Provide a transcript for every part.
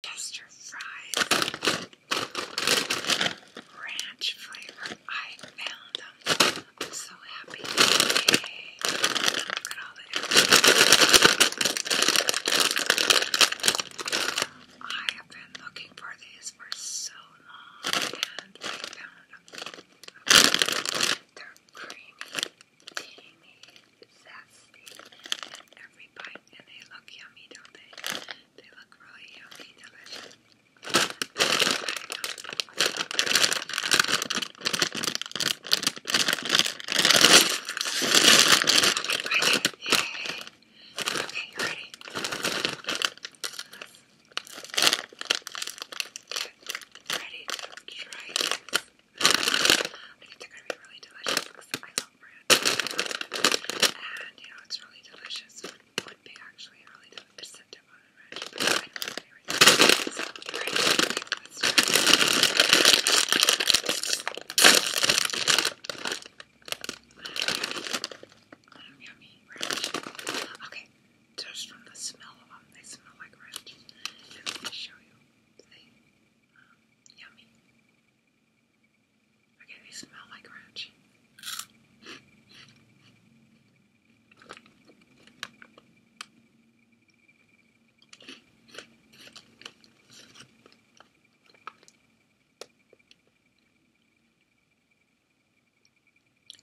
Tester fries, ranch flavor. I found them. I'm so happy. Look at all the different I have been looking for these for so long and I found them. They're creamy, teeny, zesty every bite, and they look yummy, don't they? They look really yummy, delicious. Okay, you ready? Ready to try this. I they're gonna be really delicious and, you know, it's really delicious. would be actually really delicious. Um, yummy Okay, just from the smell of them, they smell like ranch. let me show you. Um, yummy. I Okay, they smell my ranch.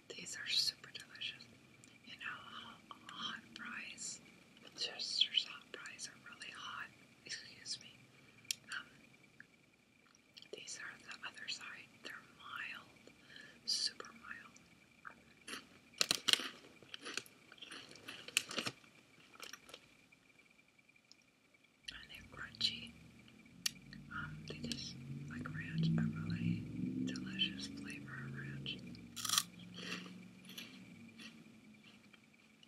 These are super delicious. You know, hot fries, Chester's hot fries are really hot excuse me. Um, these are the other side. They're mild, super mild. And they're crunchy. Um, they just like ranch, a really delicious flavor of ranch.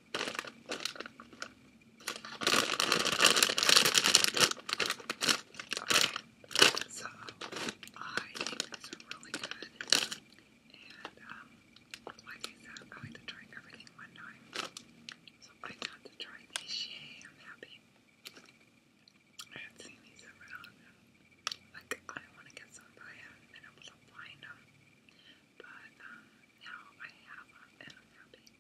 So I think these are really good, and um, like I said, I like to try everything one time. So I got to try these. Yay! I'm happy. I have seen these around. Like I want to get some, but I haven't been able to find them. But um, now I have them, and I'm happy.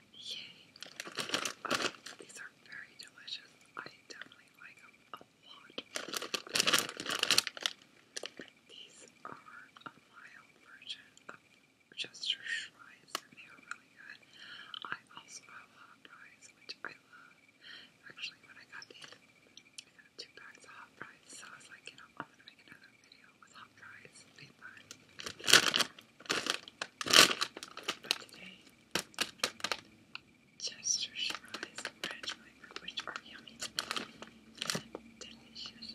Yay! these are very delicious. I definitely like them a lot. These are a mild version of Chester Fries, and they are really good. I also have hot fries, which I love. Actually, when I got these, I got two packs of hot fries, so I was like, I'm gonna make another video with hot fries everybody. But today, fries which are yummy delicious.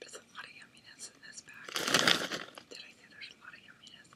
There's a lot of yumminess in this bag. Did I say there's a lot of yumminess?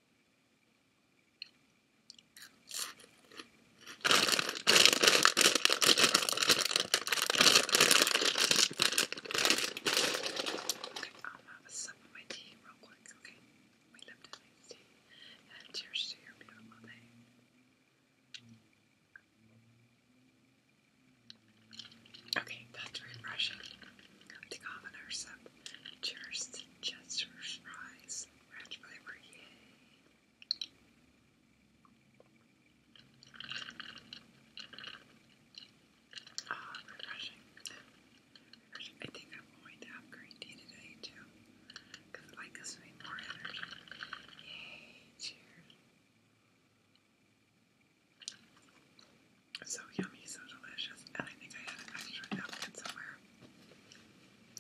I'm gonna have a sip of my tea real quick, okay? We live to nice tea. And cheers to your beautiful day. Okay, that's refreshing. To calm and sip. Cheers to Jester's Rise. Ranch flavor, refreshing. I think I'm going to have green tea today too. Because like gives me more energy. Yay, cheers. So yummy, so delicious. And I think I had an extra napkin somewhere.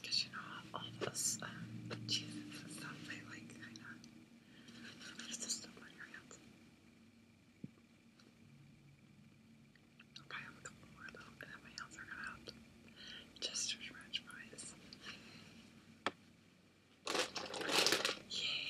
Because you know, all those um, and stuff, they like kind of leaves the stuff on your hands. I'll probably have a more though, and then my hands are gonna have just to fries. Yay!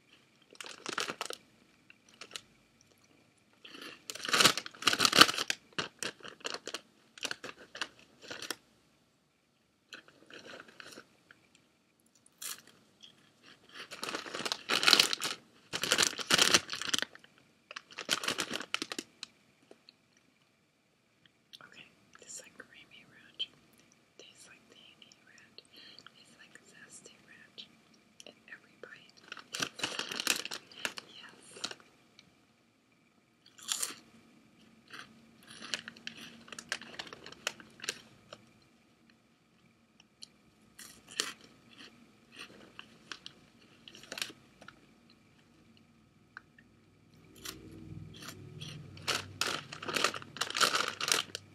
Okay, this like creamy ranch. Tastes like tangy ranch. Tastes like zesty ranch in every bite. Yes.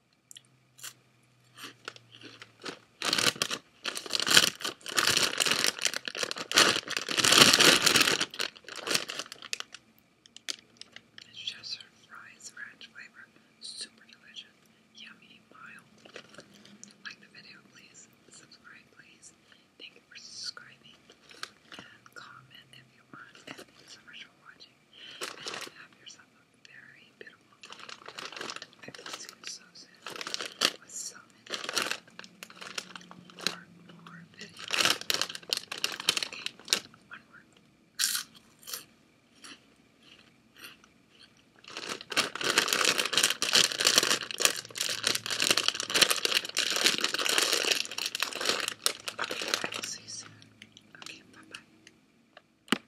It's just her fries ranch flavor. Super delicious. Yummy, mild. Like the video, please. Subscribe, please. Thank for subscribing. comment if you want. And so much for watching. have yourself very beautiful I feel so soon with so more, more videos. Okay, one more. you Okay, bye bye.